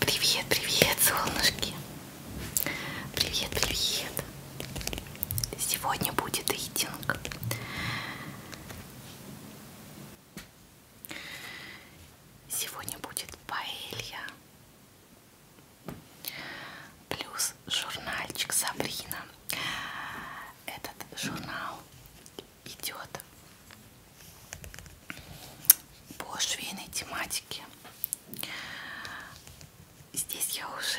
Привет, привет, солнышки! Привет, привет! Сегодня будет рейтинг. Сегодня будет паэлья. Плюс журнальчик Сабрина. Этот журнал идет по швейной тематике. Здесь я уже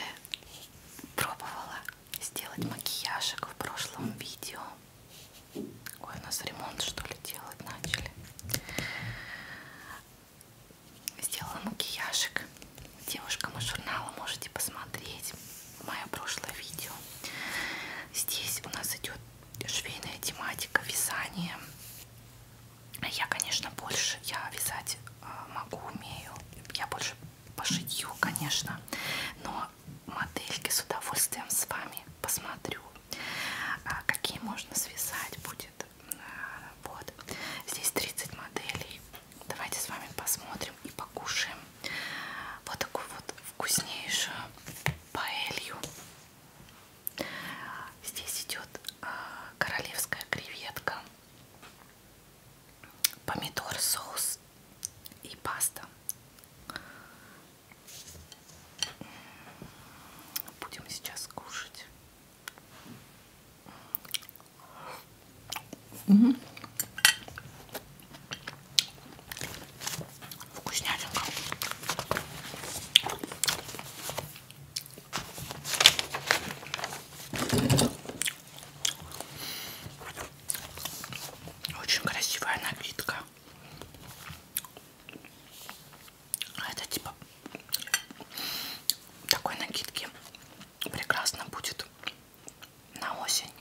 пробовала сделать макияжик в прошлом видео. Ой, у нас ремонт что ли делать начали. Сделала макияжик девушкам из журнала, можете посмотреть мое прошлое видео. Здесь у нас идет швейная тематика, вязание. Я, конечно, больше, я вязать а, могу, умею, я больше по шитью, конечно, но модельки с удовольствием с вами посмотрю, а, какие можно связать будет. А, вот, здесь 30 моделей. Давайте с вами посмотрим и покушаем вот такую вот вкуснейшую паэлью Здесь идет а, королевская креветка, помидор, соус и паста. Будем сейчас кушать. Угу. Вкуснятинка. Очень красивая напитка. А это типа такой накидки прекрасно будет на осень.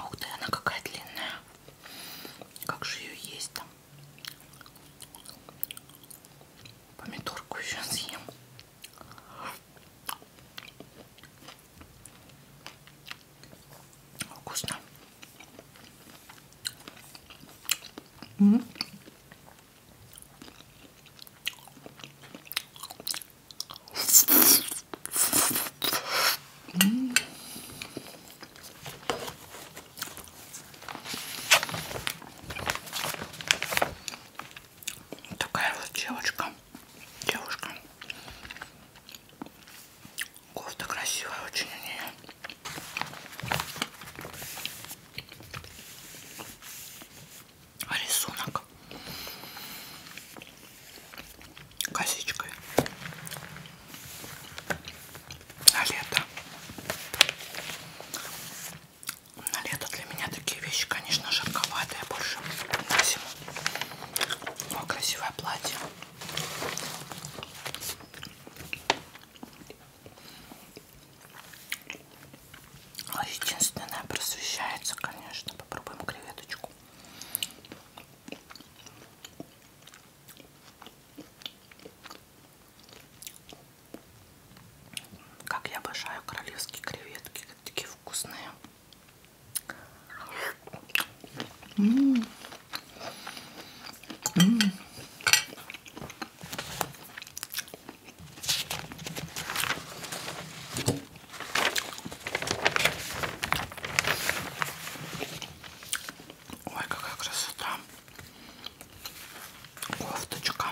Ух ты, она какая длинная. Как же ее есть там? Помидорку еще съем. Вкусно. М -м -м. Такая вот девочка, девушка. Кофта красивая очень у нее рисунок косичкой на лето. На лето для меня такие вещи, конечно, жарковатые, больше на зиму. Но красивое платье. Единственное, просвещается, конечно. Попробуем креветочку. Как я обожаю королевские креветки, такие вкусные. М -м -м. Ой, какая красота. Кофточка.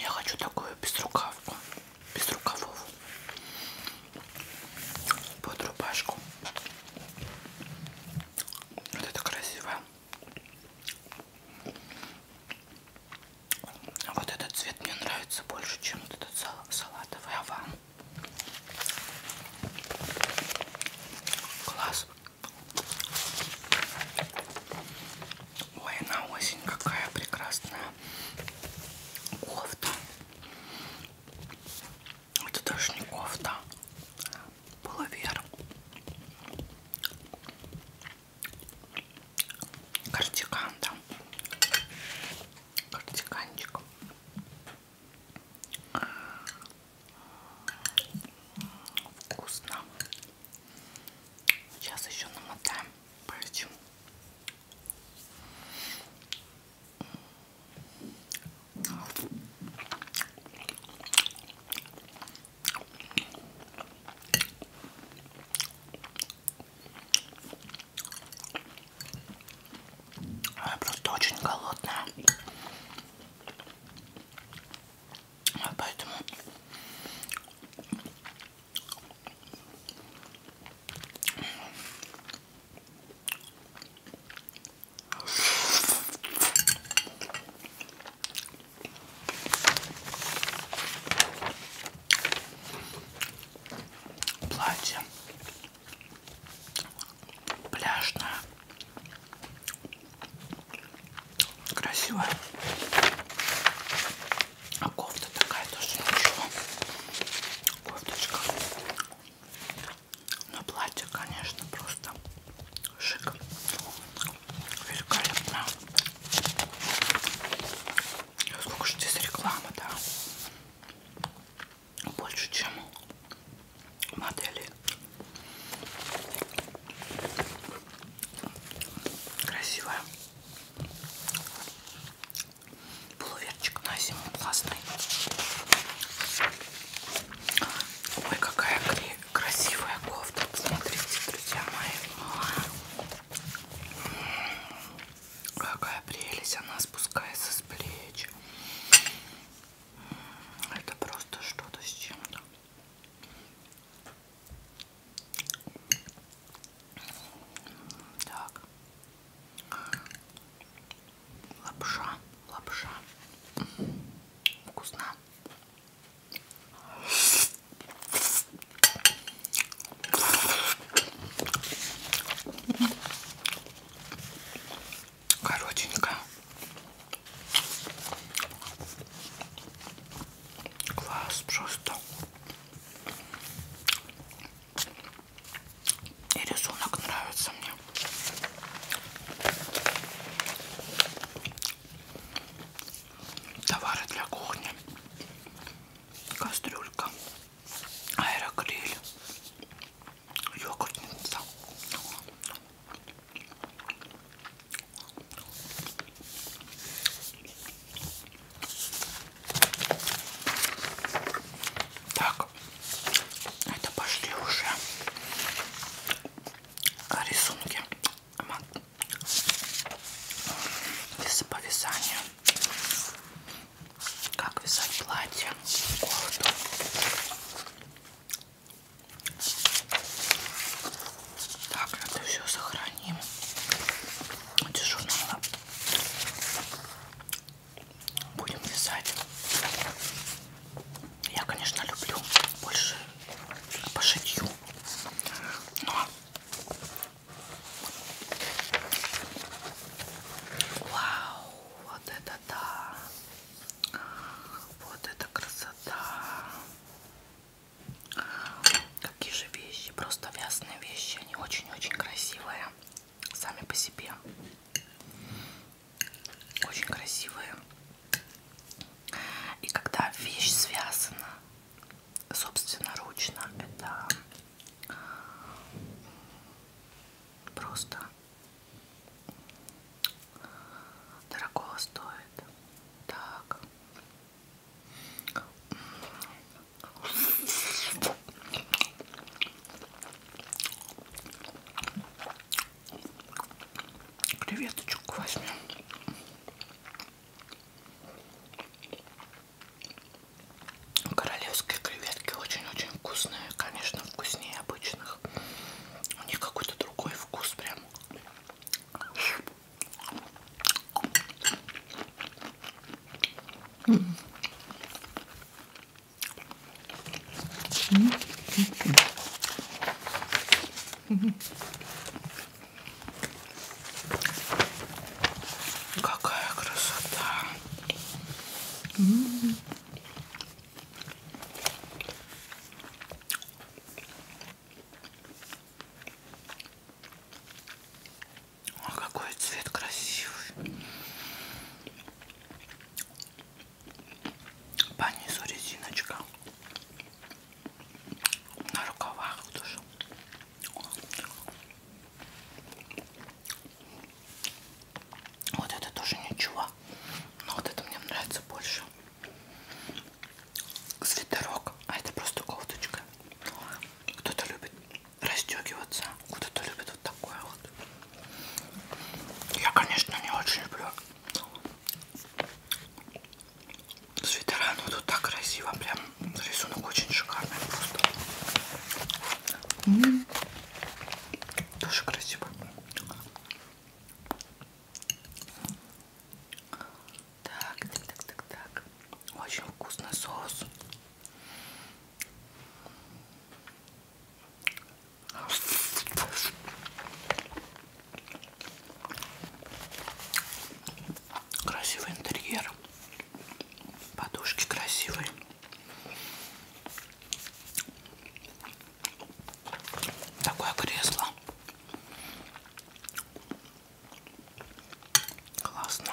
Я хочу такую безрукавку, без рукавов, под рубашку. Вот это красиво. Вот этот цвет мне нравится больше, чем вот этот сал салатовый аван. Класс. Ой, на осень какая прекрасная кофта. Это даже не кофта, пуловер кардиган там кардиганчик вкусно сейчас еще намотаем пальчик я просто очень голодная. А поэтому Платье пляжное, красивое, а кофта такая тоже ничего, кофточка. Но платье, конечно, просто шик. Великолепно. Сколько же здесь рекламы, да? Больше, чем модели. Красивая. Пуловерчик на зиму классный. Ой, какая клей красивая кофта. Смотрите, друзья мои. Какая прелесть. Она спускается с плеч. Это просто что-то с чем-то. Так. Лапша. Лапша. Вкусно. Коротенькая. Класс просто. И рисунок нравится мне. Товары для кухни. Кастрюлька. Аэрогриль. Йогуртница. Так, это пошли уже а, рисунки по вязанию как вязать платье кофту так это все сохраним эти журналы будем вязать я, конечно, люблю больше по шитью, но вау, вот это да, вот это красота. Какие же вещи, просто вязаные вещи, они очень-очень красивые сами по себе очень красивые. И когда вещь связана собственноручно, это просто дорого стоит. Так. Креветочку возьмем. Королевские креветки очень-очень вкусные. Конечно, вкуснее обычных. У них какой-то другой вкус прям. Mm. Mm -hmm. Какая красота. О, какой цвет красивый. По низу резиночка на рукавах тоже. Вот это тоже ничего. Но вот это мне нравится больше. Свитерок. А это просто кофточка. Кто-то любит расстегиваться, кто-то любит вот такое вот. Я, конечно, не очень люблю свитера, ну тут так красиво, прям рисунок очень шикарный просто. М -м -м. Тоже красиво. Так, так, так, так, так. Очень вкусный соус. Красивый интерьер. Подушки красивые. Такое кресло. Классно.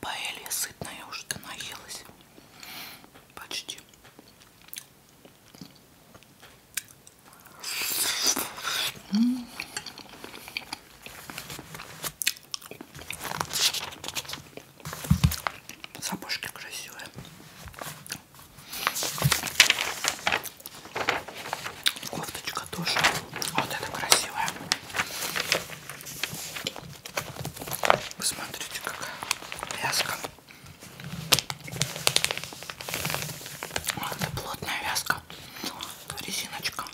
Паэлья сытная, я уже наелась. Почти. Сапожки красивые. Кофточка тоже. Вот это красивая. Вы смотрите, какая вязка. Это плотная вязка, резиночка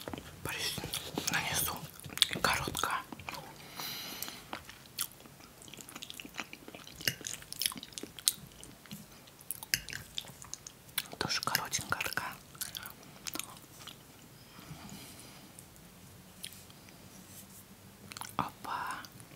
по резинке нанесу и короткая. Тоже коротенькая такая. Опа,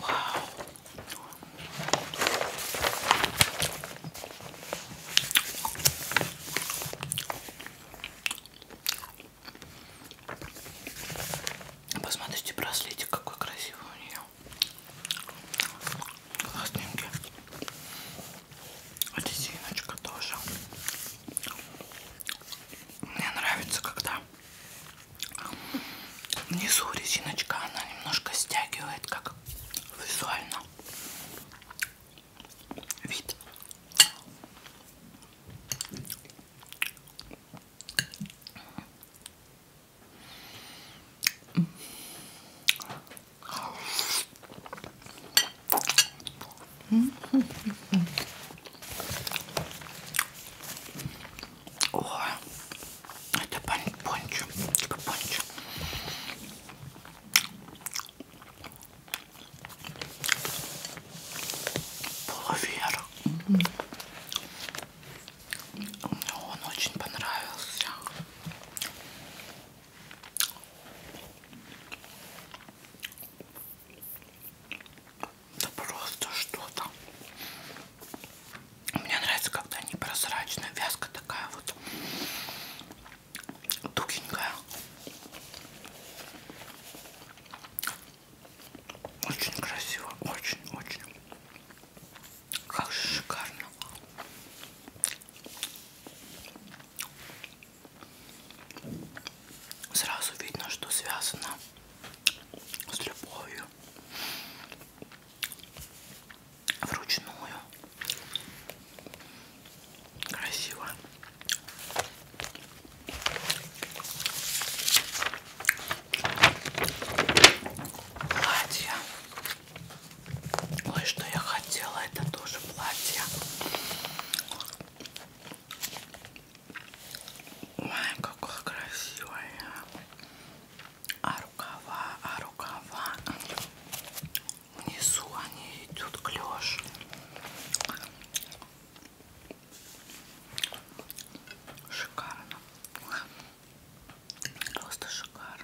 Вау. Посмотрите браслетик, какой красивый у нее. Классненький. Резиночка тоже. Мне нравится, когда Внизу резиночка, она немножко стягивает, как визуально вид. О, это пончо, типа пончо. Половер. Мне он очень понравился. Да просто что-то. Мне нравится, когда они прозрачные, вязка такая вот тугенькая. Очень красиво, очень-очень. Как же шикарно. Сразу видно, что связано с любовью, вручную, красиво. Платье. Ой, что я хотела, это тоже платье. Ой, какая красивая. А рукава, а рукава. Внизу они идут клеш. Шикарно. Просто шикарно.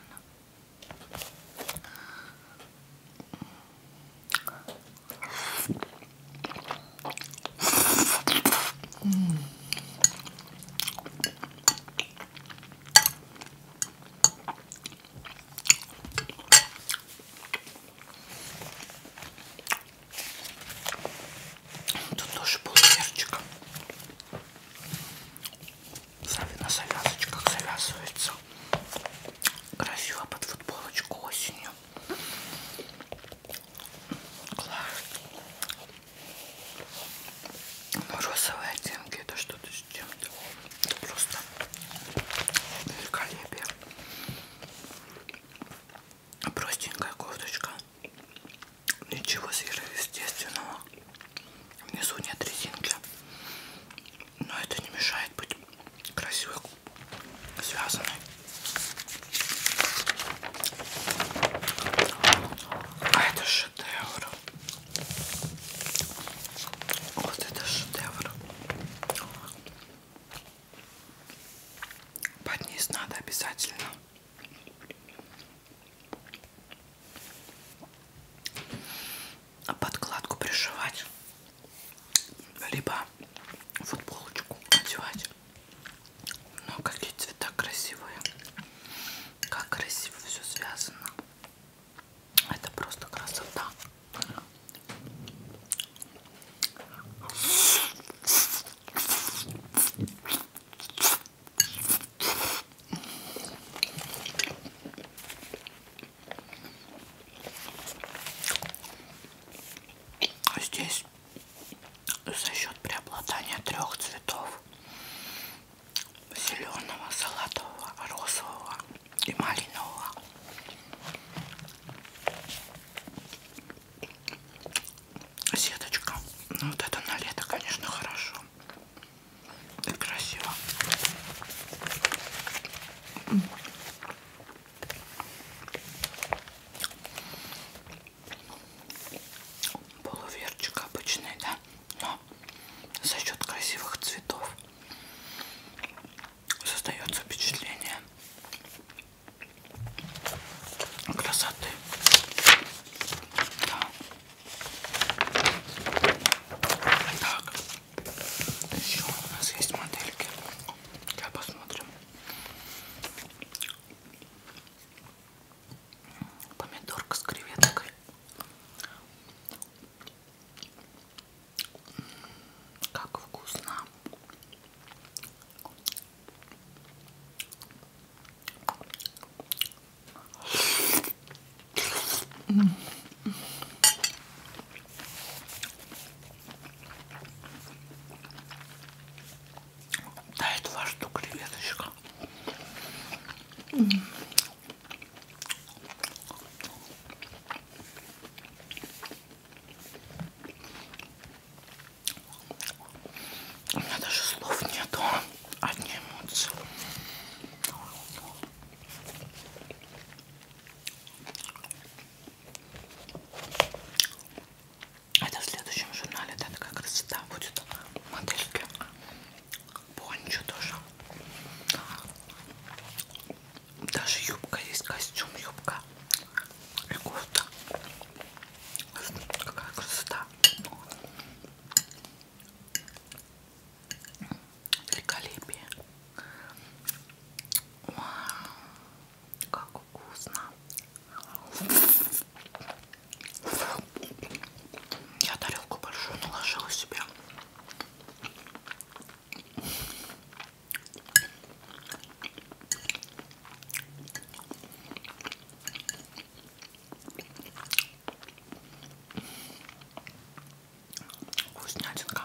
Тут тоже был перчик. На завязочках завязывается. Красиво под футболочку осенью. Но розовые оттенки это что-то с чем-то. Просто великолепие. Простенькая кофточка. Ничего сверхъестественного. Внизу нет резинки. Но это не мешает быть красивой, связанной. А это шедевр. Вот это шедевр. Под низ надо обязательно. А подкладку пришивать, либо футболочку одевать. Ну, какие цвета красивые. Как красиво все связано. Это просто красота. Здесь здесь за счет преобладания трех цветов зеленого, салатового, розового и малинового. Сеточка. Ну вот это на лето, конечно, хорошо. И красиво полуверчик обычный, да, но за счет красивых цветов создается впечатление красоты. Да. Так, еще у нас есть модельки. Сейчас посмотрим помидорка с креветкой. Как вкусно до этого что креветочка. У меня даже слов нету, а. одни эмоции. Это в следующем журнале, да, такая красота будет. Модельки. Пончо тоже. Даже юбка есть, костюм, юбка. И кофта. Какая красота. Великолепие. Вау. Как вкусно. Я тарелку большую наложила себе. Вкуснятинка.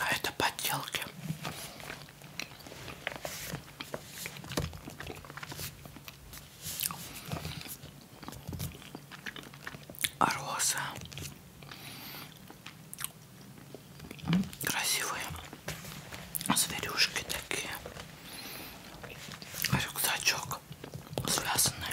А это подделки. А роза. Красивые зверюшки такие. А рюкзачок связанный.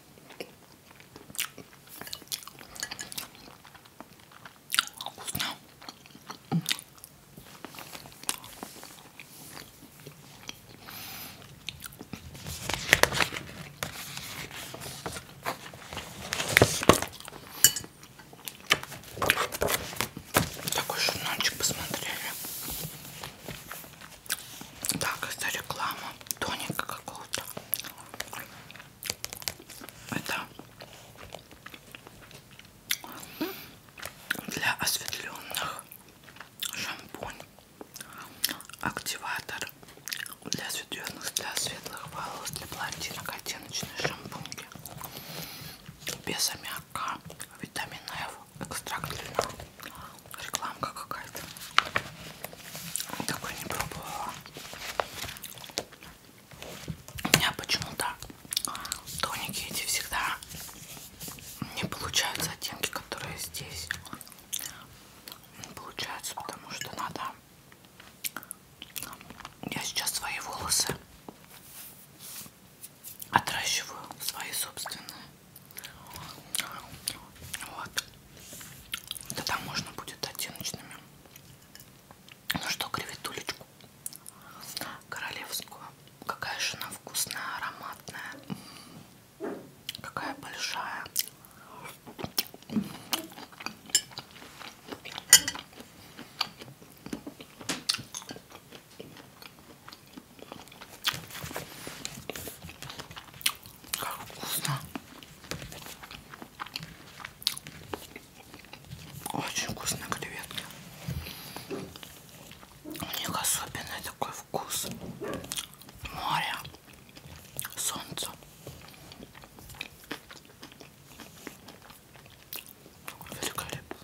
Вкусно. Такой журнальчик посмотрели. Так, это реклама тоника какого-то. Это для осветленных шампунь, активатор для осветленных, для светлых волос, для блондинок оттеночные шампуньки, без аммиака, витамин F, экстракт льна, рекламка какая-то. Такой не пробовала. У меня почему-то тоники эти всегда не получаются оттенки, которые здесь не получаются, потому что надо. Я сейчас свои волосы отращиваю, свои собственные. Вот. Тогда можно будет оттеночными. Ну что, креветулечку королевскую. Какая же она вкусная, ароматная. Какая большая. Как вкусно. Очень вкусные креветки. У них особенный такой вкус моря, солнца. Великолепно.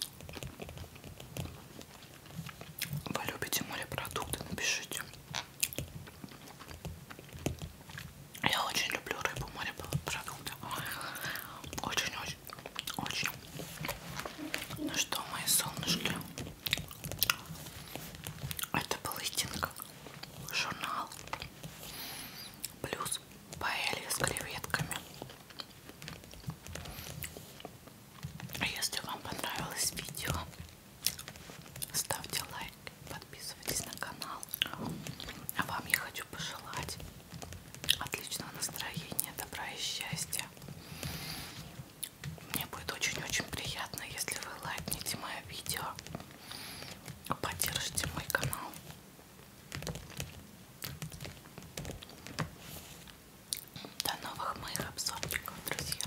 Вы любите морепродукты? Напишите. Я очень люблю рыбу, морепродукты. Очень-очень, очень. Ну что, мои солнышки, это был Истинг, журнал, плюс паэлья с креветками. Если вам понравилось видео, ставьте лайк лайк, подписывайтесь на канал. А вам я хочу пожелать отличного настроения, добра и счастья. Мне будет очень-очень приятно, если вы лайкните мое видео, поддержите мой канал. До новых моих обзорчиков, друзья!